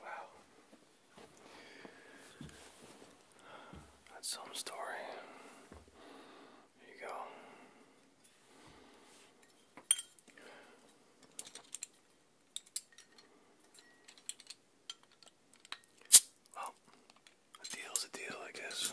Wow. That's some story. Here you go. Well, a deal's a deal, I guess.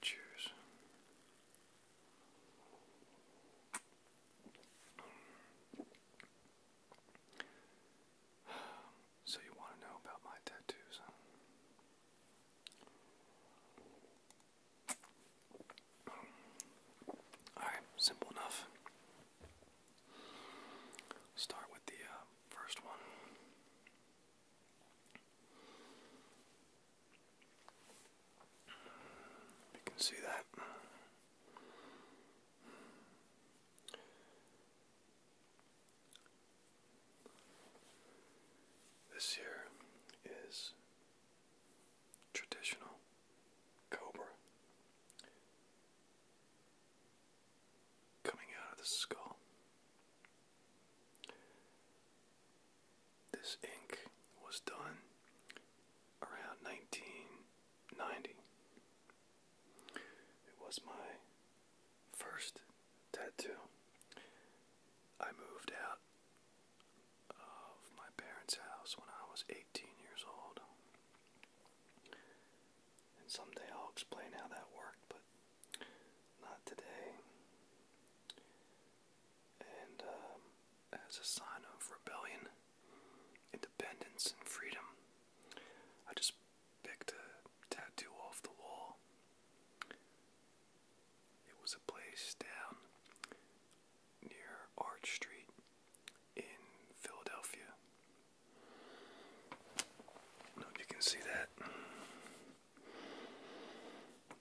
Cheers. So, you want to know about my tattoos, Alright, simple enough. Start with the uh, first one. You can see that. This here is traditional cobra coming out of the skull. This ink was done around 1990. It was my first tattoo. I moved out of my parents' house when I was 8 18 years old. And someday I'll explain how that worked, but not today. And um, as a sign of rebellion, independence, and freedom, I just picked a tattoo off the wall. It was a place down near Arch Street in Philadelphia. I don't know if you can see that.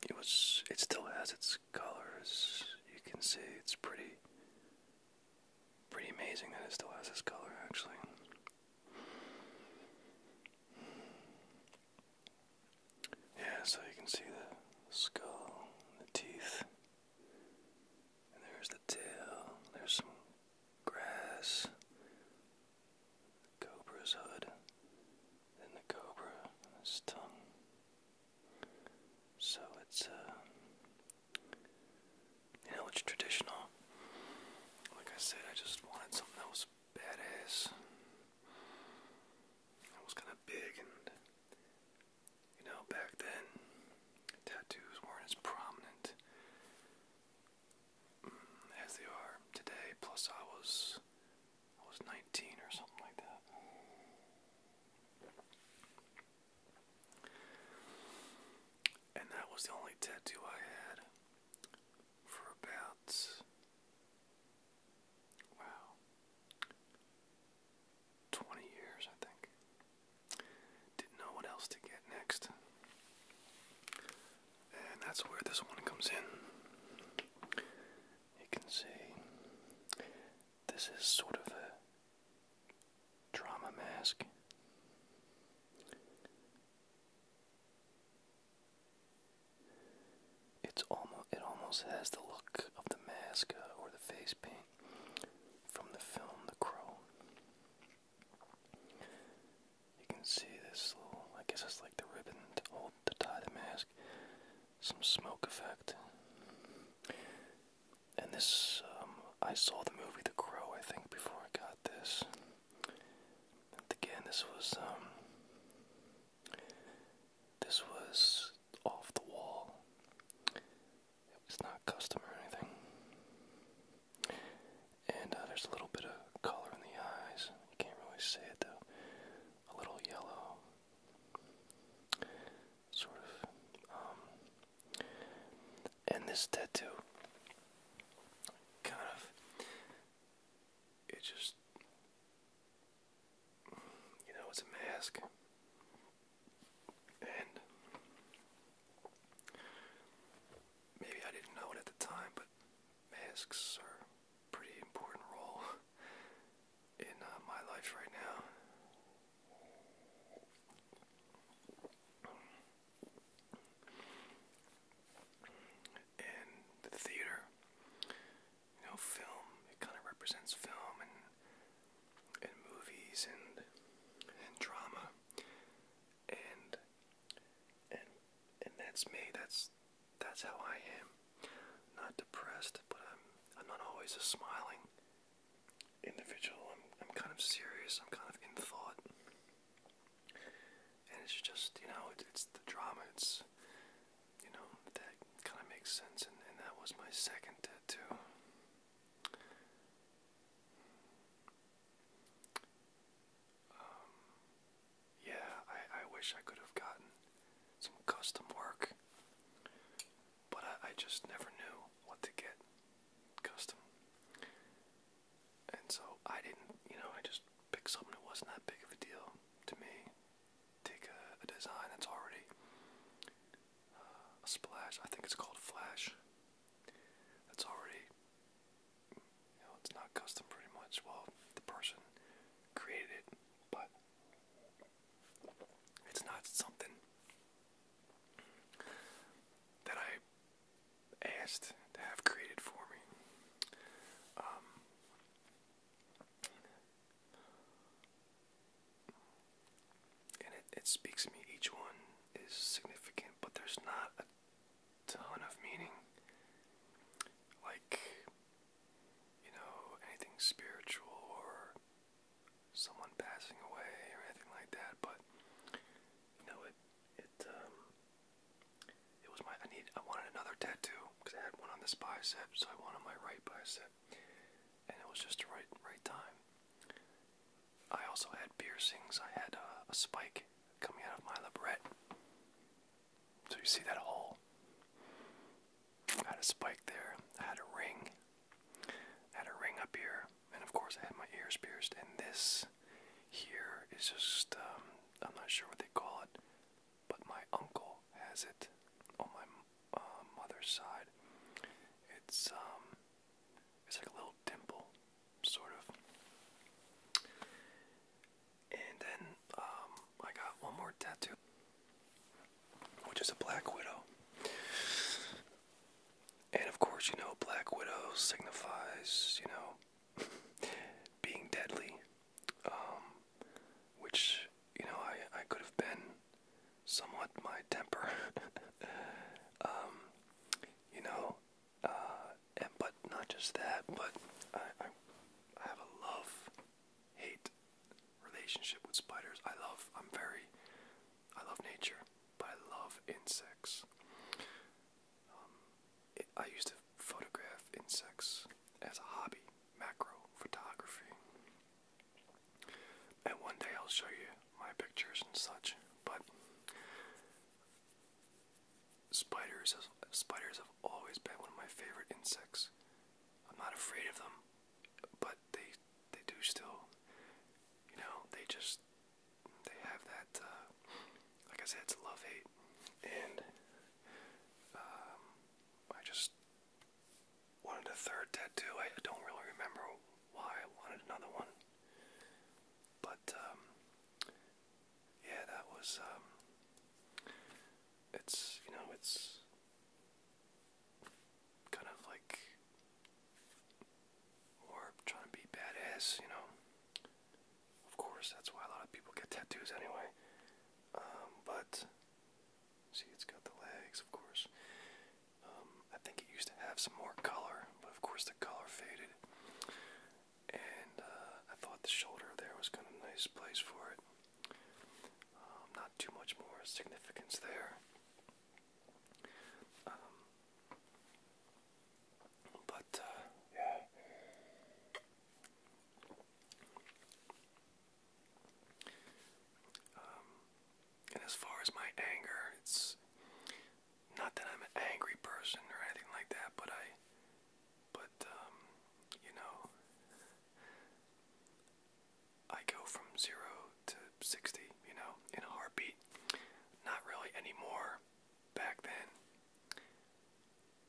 It was. It still has its colors. You can see it's pretty. Pretty amazing that it still has this color, actually. Yeah, so you can see the skull, the teeth there's the tail. There's some grass. cobra's hood. Then the cobra and tongue. So it's uh you know it's traditional. Like I said, I just wanted something that was badass. That was kinda big you know, back then, tattoos weren't as prominent mm, as they are today. Plus, I was I was 19 or something like that. And that was the only tattoo I had for about wow 20 years, I think. Didn't know what else to get next. And that's where this one comes in. You can see this is sort of a drama mask. It's almost it almost has the look of the mask uh, or the face paint from the film The Crow. You can see this little, I guess it's like the ribbon to hold to tie the mask, some smoke effect. And this, um, I saw the movie The Crow, I think, before I got this. And again, this was, um, this was off the wall. It was not custom or anything. And uh, there's a little bit of color in the eyes. You can't really see it though. A little yellow. Sort of. Um, and this tattoo, kind of, it just, you know, it's a mask. And maybe I didn't know it at the time, but masks are pretty important role in uh, my life right now. And the theater, you know, film, it kind of represents film and and movies and and drama and and and that's me that's that's how I am not depressed but I'm I'm not always a smiling individual I'm I'm kind of serious I'm kind of in thought and it's just you know it, it's the drama it's you know that kind of makes sense and, and that was my second tattoo um, yeah, I, I wish I could have gotten some custom work, but I, just never knew what to get custom. And so I didn't, you know, I just picked something that wasn't that big of a deal to me. Take a, design that's already uh, a splash, I think it's called Flash that's already, you know, it's not custom pretty much. Well, the person created it, but it's not something that I asked to have created for me. Um, and it, speaks to me. Each one is significant, but there's not a ton of meaning. Like, you know, anything spiritual or someone passing away or anything like that, but you know, it, it, um, it was my, I need, I wanted another tattoo because I had one on this bicep, so I wanted my right bicep, and it was just the right, right time. I also had piercings. I had uh, a, spike coming out of my labret. So you see that hole? I had a spike there. I had a ring. I had a ring up here. And of course, I had my ears pierced. And this here is just, um, I'm not sure what they call it, but my uncle has it on my uh, mother's side. It's, um, it's like a little dimple, sort of. And then um, I got one more tattoo, which is a black widow. And of course, you know, black widow signifies, you know, being deadly, um, which you know I I could have been somewhat my temper. Um, you know, uh, but not just that, but I, have a love-hate relationship with spiders. I love. I'm very. I love nature, but I love insects. Um, I used to photograph insects as a hobby, macro photography. And one day I'll show you my pictures and such, but spiders have, spiders have always been one of my favorite insects. I'm not afraid of them, but they they do still, you know, they just they have that. Uh, like I said, it's love hate, and um, I just wanted a third tattoo. I don't really remember why I wanted another one. But um, yeah, that was um, it's you know it's kind of like or trying to be badass, you know. Of course, that's why a lot of people get tattoos anyway. Um, but see, it's got the legs, of course. Um, I think it used to have some more color, but of course the color faded. And uh, I thought the shoulder there was kind of a nice place for it. Um, not too much more significance there. Um, but, uh, yeah. and as far as my anger, it's not that I'm an angry person or anything like that, but I, but, um, you know, I go from zero to 60, you know, in a heartbeat. Not really anymore back then.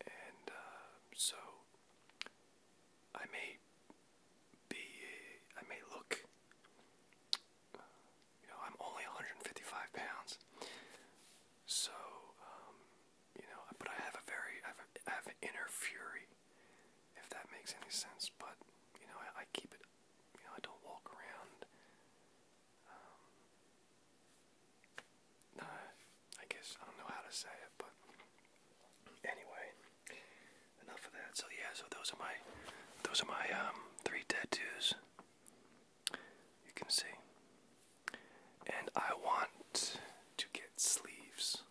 And, uh, so I may be, I may look you know, I'm only 155 pounds. So, um, you know, but I have a very, I have, an inner fury, if that makes any sense. But, you know, I, keep it, you know, I don't walk around. Um, I guess I don't know how to say it, but anyway, enough of that. So yeah, so those are my, those are my um, three tattoos. You can see. And I want to get sleeves.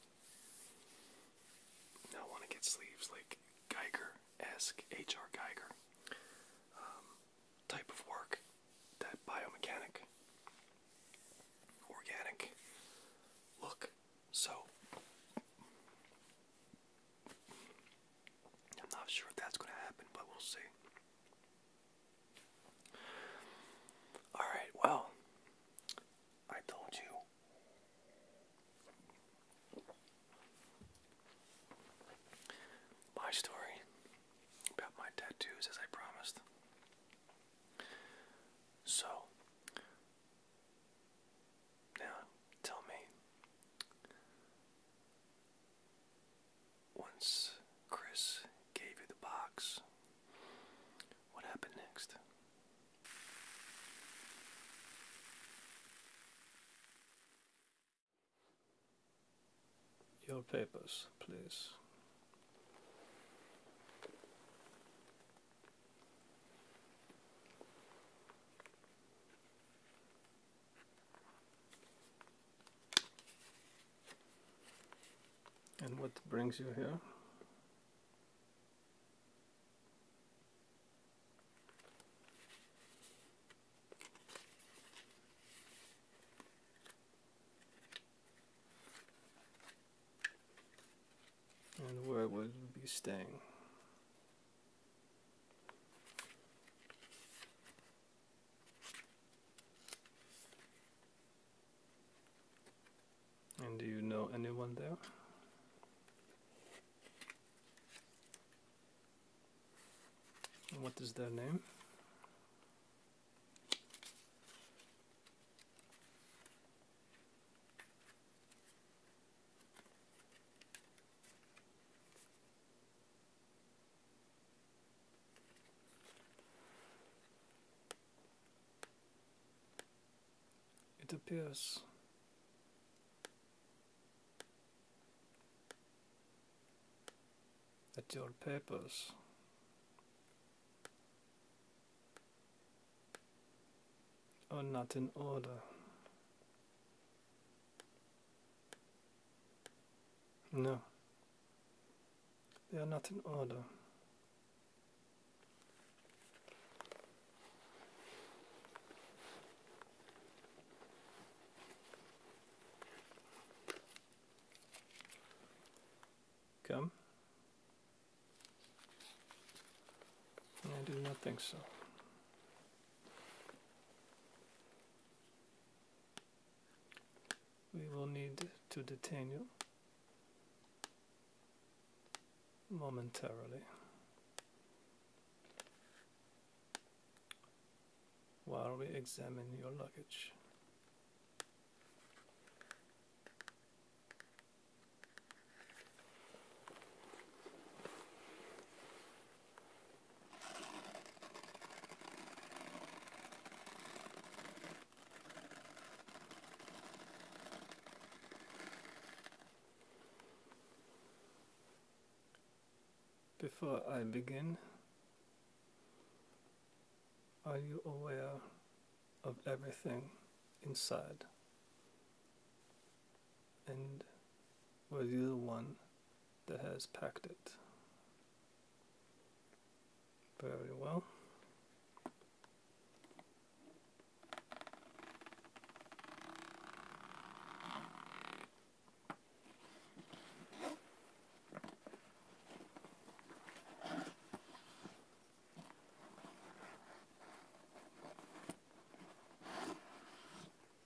I want to get sleeves like Geiger esque, um, H.R. Geiger type of work, that biomechanic, organic look. So I'm not sure if that's going to happen, but we'll see. Alright, well, I told you my story about my tattoos as I promised. So, now tell me, once Chris gave you the box, what happened next? Your papers, please. And what brings you here? And where will you be staying? And do you know anyone there? What is their name? It appears that your papers are not in order. No, they are not in order. Come? I do not think so we will need to detain you momentarily while we examine your luggage. Before I begin, are you aware of everything inside? and were you the one that has packed it? Very well.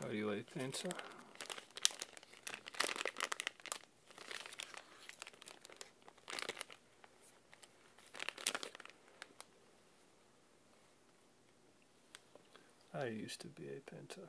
How do you like the answer? I used to be a painter.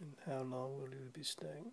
And how long will you be staying?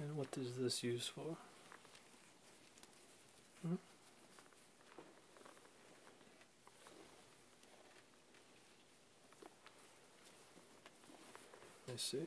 And what is this used for? Hmm? I see.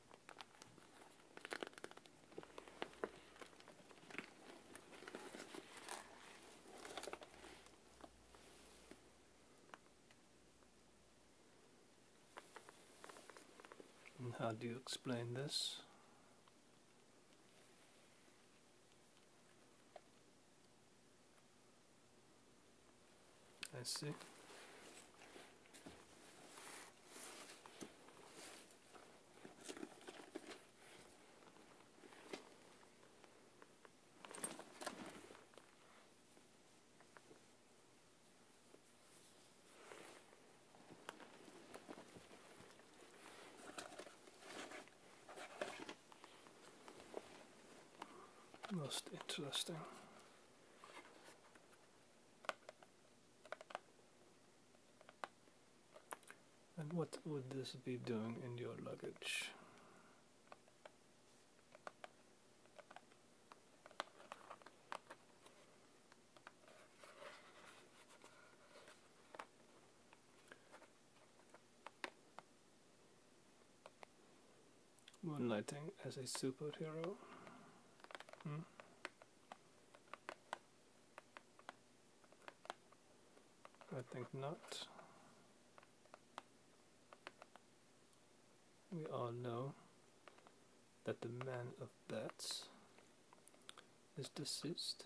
how do you explain this? I see. Most interesting. And what would this be doing in your luggage? Moonlighting as a superhero? Hmm? I think not. We all know that the man of bats is deceased.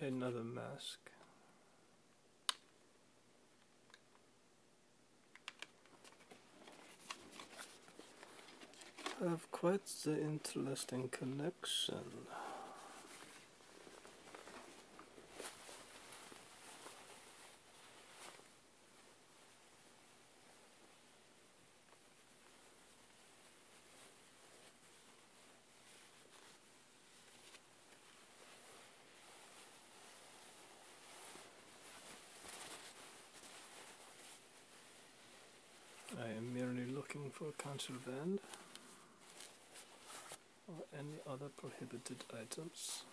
another mask. I have quite the interesting connection. I am merely looking for a council band or any other prohibited items.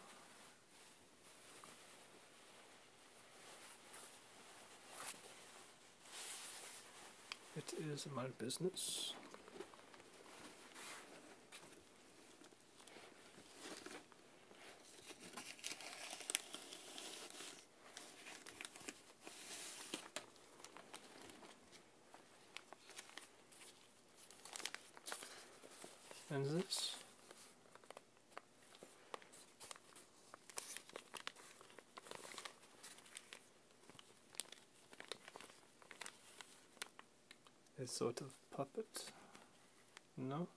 It is my business. And this a sort of puppet? No?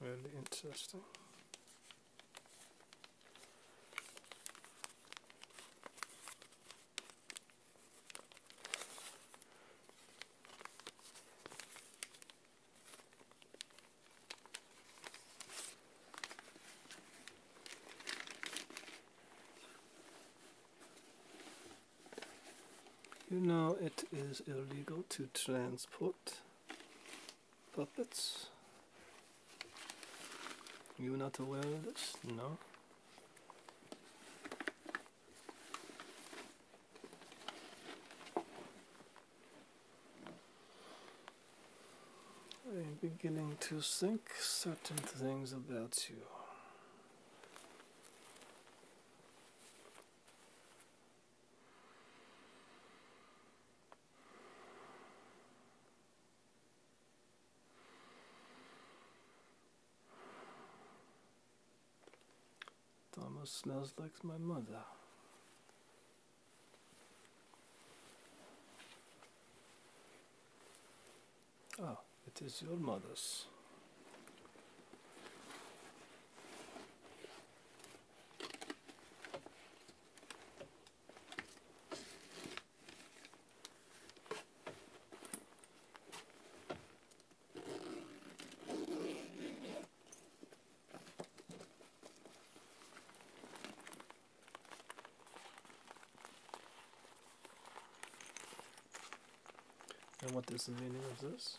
Really interesting. You know it is illegal to transport puppets. You're not aware of this? No? I'm beginning to think certain things about you. It almost smells like my mother. Oh, it is your mother's. And what is the meaning of this?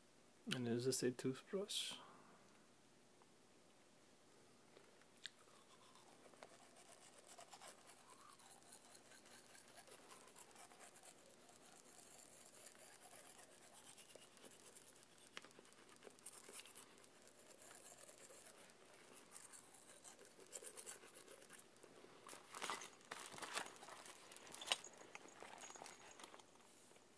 And is this a toothbrush?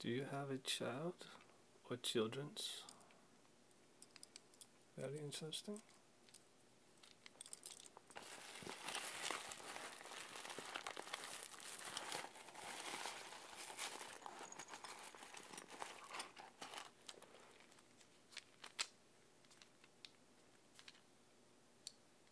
Do you have a child or children's? Very interesting.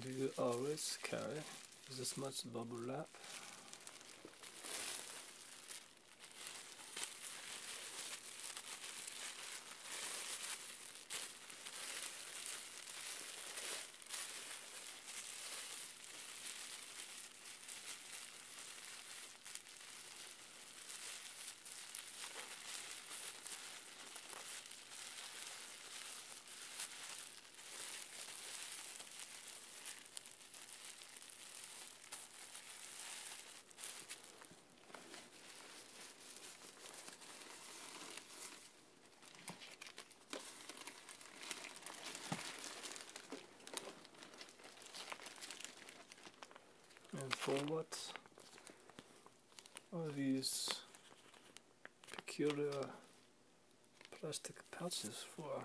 Do you always carry this much bubble wrap? and forwards are these peculiar plastic pouches for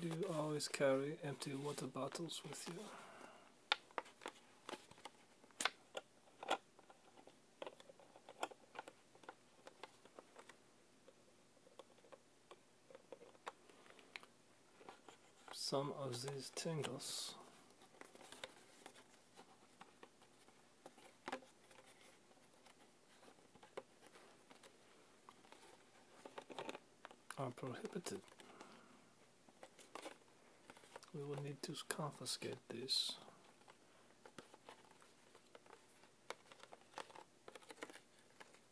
Do you always carry empty water bottles with you? some of these tingles. are prohibited. We will need to confiscate this.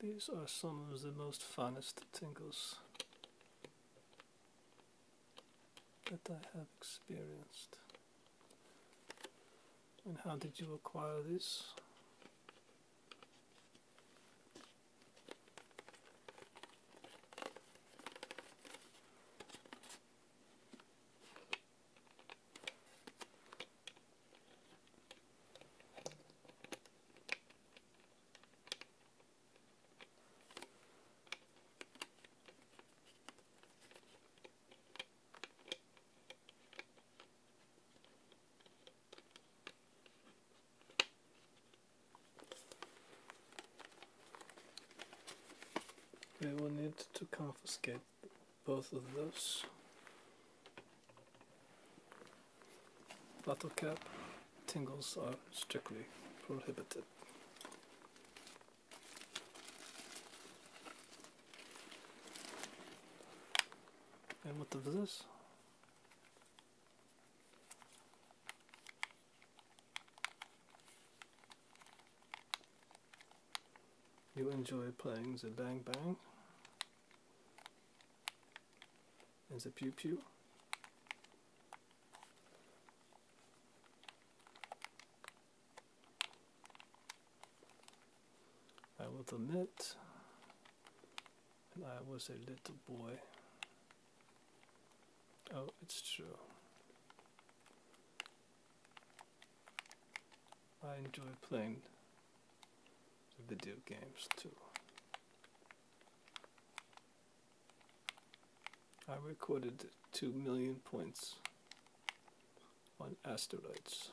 These are some of the most finest tingles that I have experienced. And how did you acquire this? We will need to confiscate both of those. Bottle cap tingles are strictly prohibited. And what is this? you enjoy playing the bang bang and the pew pew. I will admit, I was a little boy. Oh, it's true. I enjoy playing video games too. I recorded 2 million points on asteroids.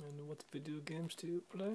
And what video games do you play?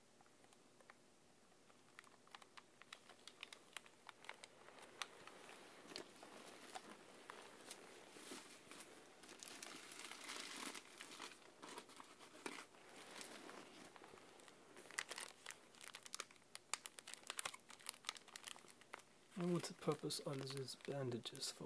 And what's the purpose of these bandages for?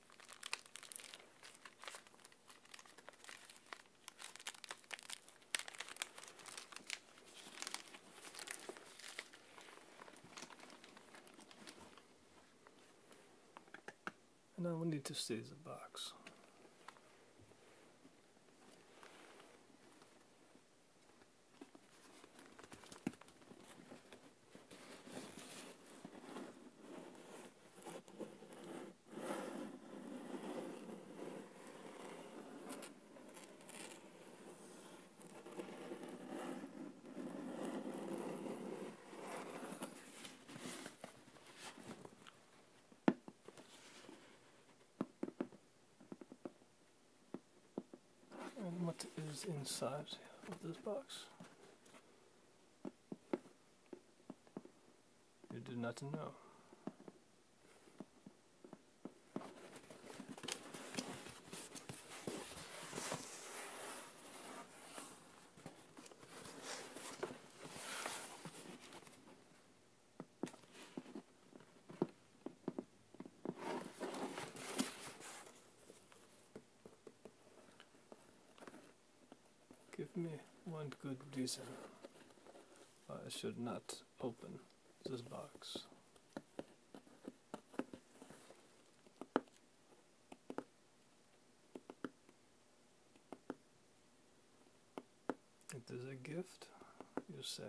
And now we need to seize the box. And what is inside of this box? You do not know. Give me one good reason why I should not open this box. It is a gift, you say.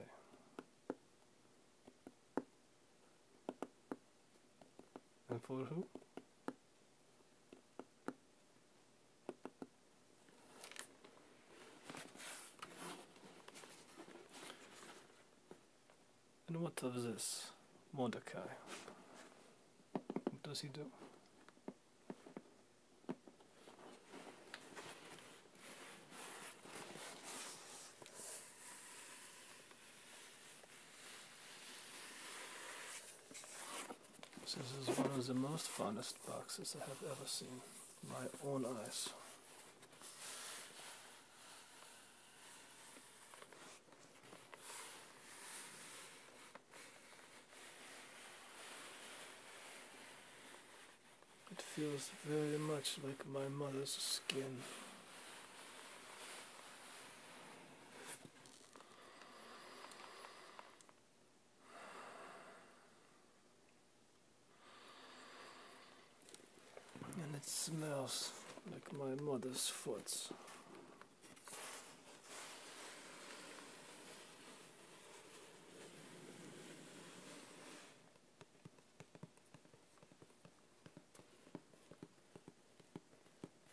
And for who? And what of this Mordecai? What does he do? This is one of the most finest boxes I have ever seen my own eyes. It feels very much like my mother's skin. And it smells like my mother's foot.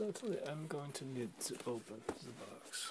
Unfortunately, I'm going to need to open the box.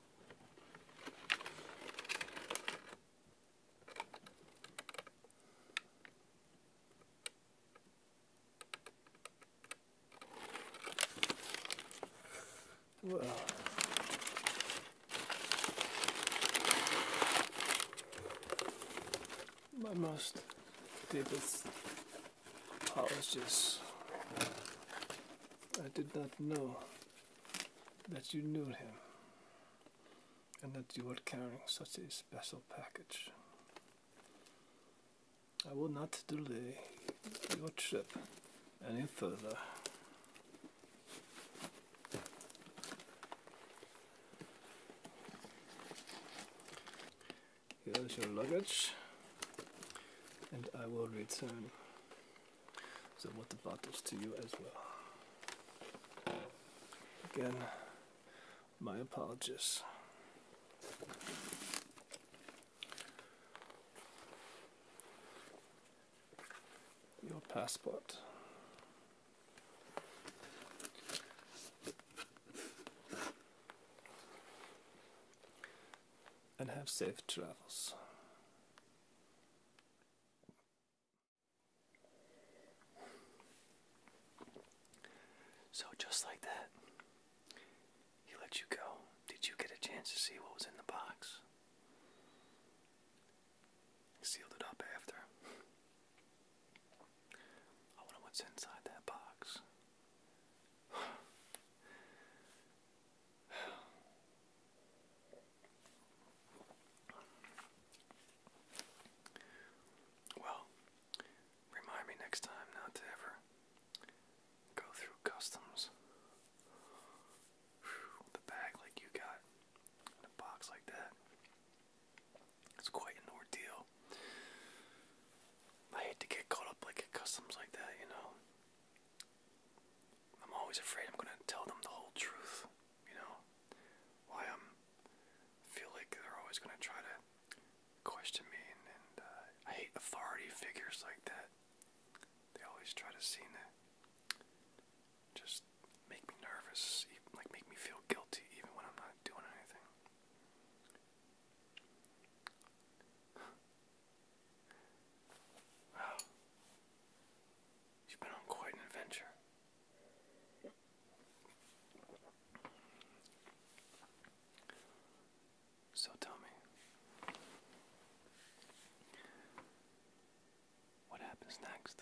Well, My most deepest apologies. I did not know that you knew him and that you were carrying such a special package. I will not delay your trip any further. Here's your luggage, and I will return so what the bottles to you as well. Again, my apologies. Your passport. and have safe travels. So, just like that, he let you go. Did you get a chance to see what was in the box? sealed it up after. I wonder what's inside that box. Well, remind me next time not to ever go through customs with bag like you got in box like that. It's quite an ordeal. I hate to get caught up like at customs like that, you know. I'm always afraid I'm gonna tell them the whole truth, you know? Why I'm um, feel like they're always gonna try to question me, and, uh, I hate authority figures like that. They always try to seem to just make me nervous, like make me feel guilty, even when I'm not doing anything. Wow you has been on quite an adventure. So tell me, what happens next?